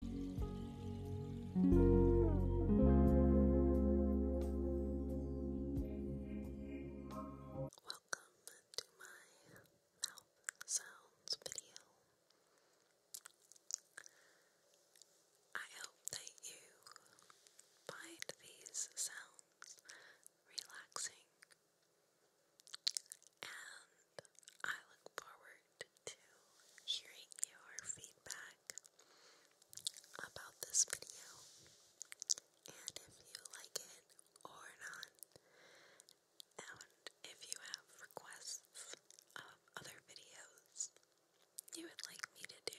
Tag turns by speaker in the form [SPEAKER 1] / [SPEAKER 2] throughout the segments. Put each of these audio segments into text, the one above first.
[SPEAKER 1] Welcome to my mouth sounds video. I hope that you find these sounds relaxing, and I look forward to hearing your feedback about this video. And if you like it or not, and if you have requests of other videos you would like me to do.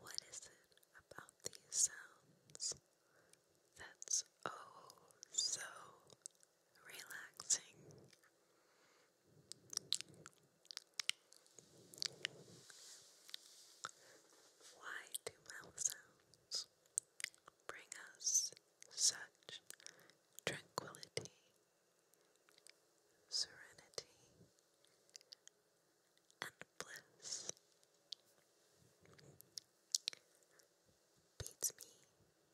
[SPEAKER 1] What is it about these sounds that's oh so relaxing? Why do mouth sounds bring us such tranquility, serenity, and bliss? Beats me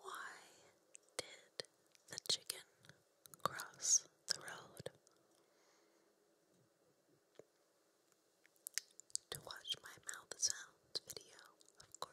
[SPEAKER 1] Why did the chicken cross the road? to watch my mouth sounds video, of course.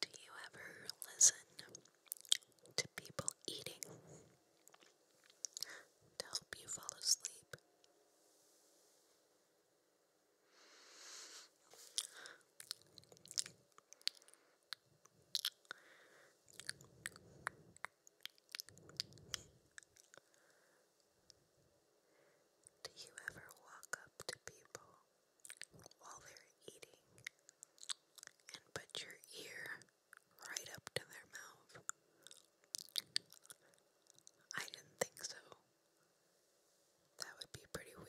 [SPEAKER 1] Do you ever listen to people eating? to help you fall asleep. Do you ever walk up to people while they're eating and put your ear right up to their mouth I didn't think so. That would be pretty weird.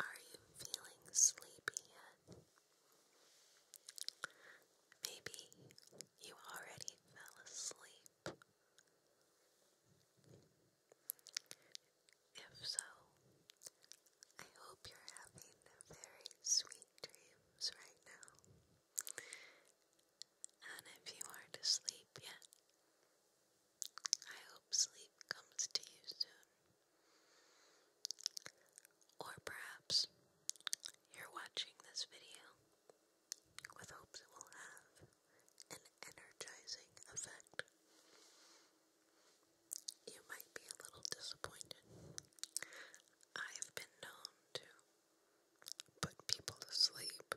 [SPEAKER 1] Are you feeling sleepy yet? Maybe you already fell asleep. If so, I hope you're having very sweet dreams right now and if you are to sleep yet, I hope sleep comes to you soon. Or perhaps you're watching this video with hopes it will have an energizing effect. You might be a little disappointed. I've been known to put people to sleep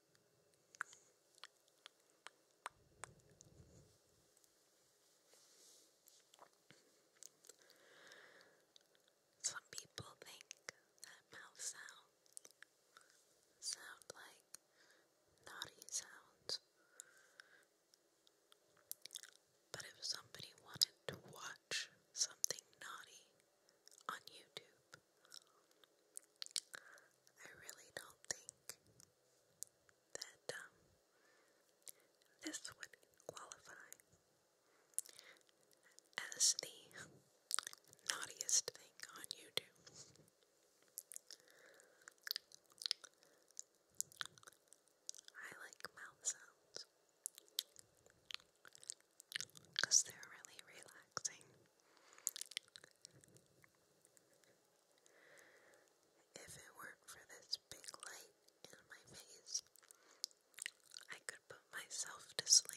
[SPEAKER 1] Some people think that mouth sounds sound like naughty sounds. But if somebody wanted to watch something naughty on YouTube, I really don't think that um, this would qualify as the naughtiest thing on YouTube. I like mouth sounds because they're really relaxing. If it weren't for this big light in my face, I could put myself to sleep.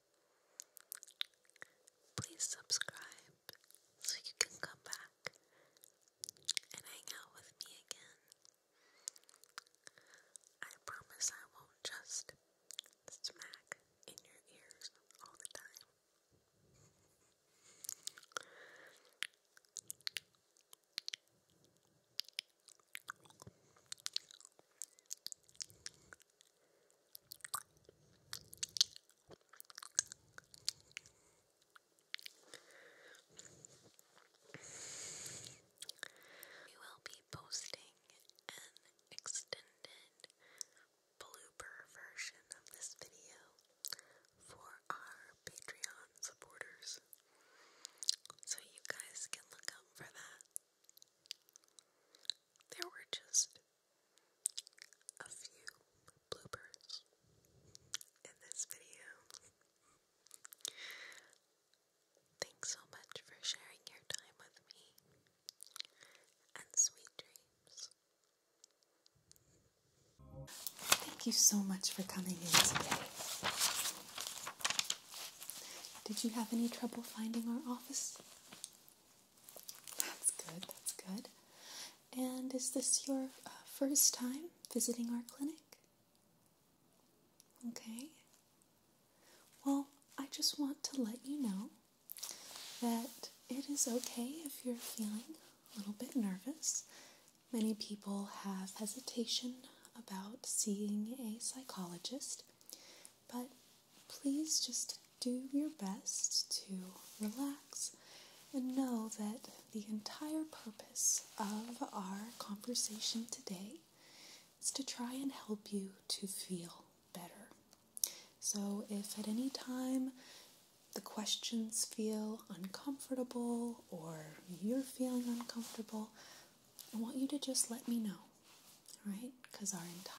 [SPEAKER 1] Please subscribe so you can come back and hang out with me again. I promise I won't just smack in your ears all the time. We will be posting an extended blooper version of this video for our Patreon supporters. So you guys can look out for that. There were just a few bloopers in this video. Thanks so much for sharing your time with me, and sweet dreams. Thank you so much for coming in today. Did you have any trouble finding our office? That's good, that's good. And is this your uh, first time visiting our clinic? Okay. Well, I just want to let you know that it is okay if you're feeling a little bit nervous. Many people have hesitation about seeing a psychologist, but please just do your best to relax and know that the entire purpose of our conversation today is to try and help you to feel better. So, if at any time the questions feel uncomfortable or you're feeling uncomfortable, I want you to just let me know, all right? Because our entire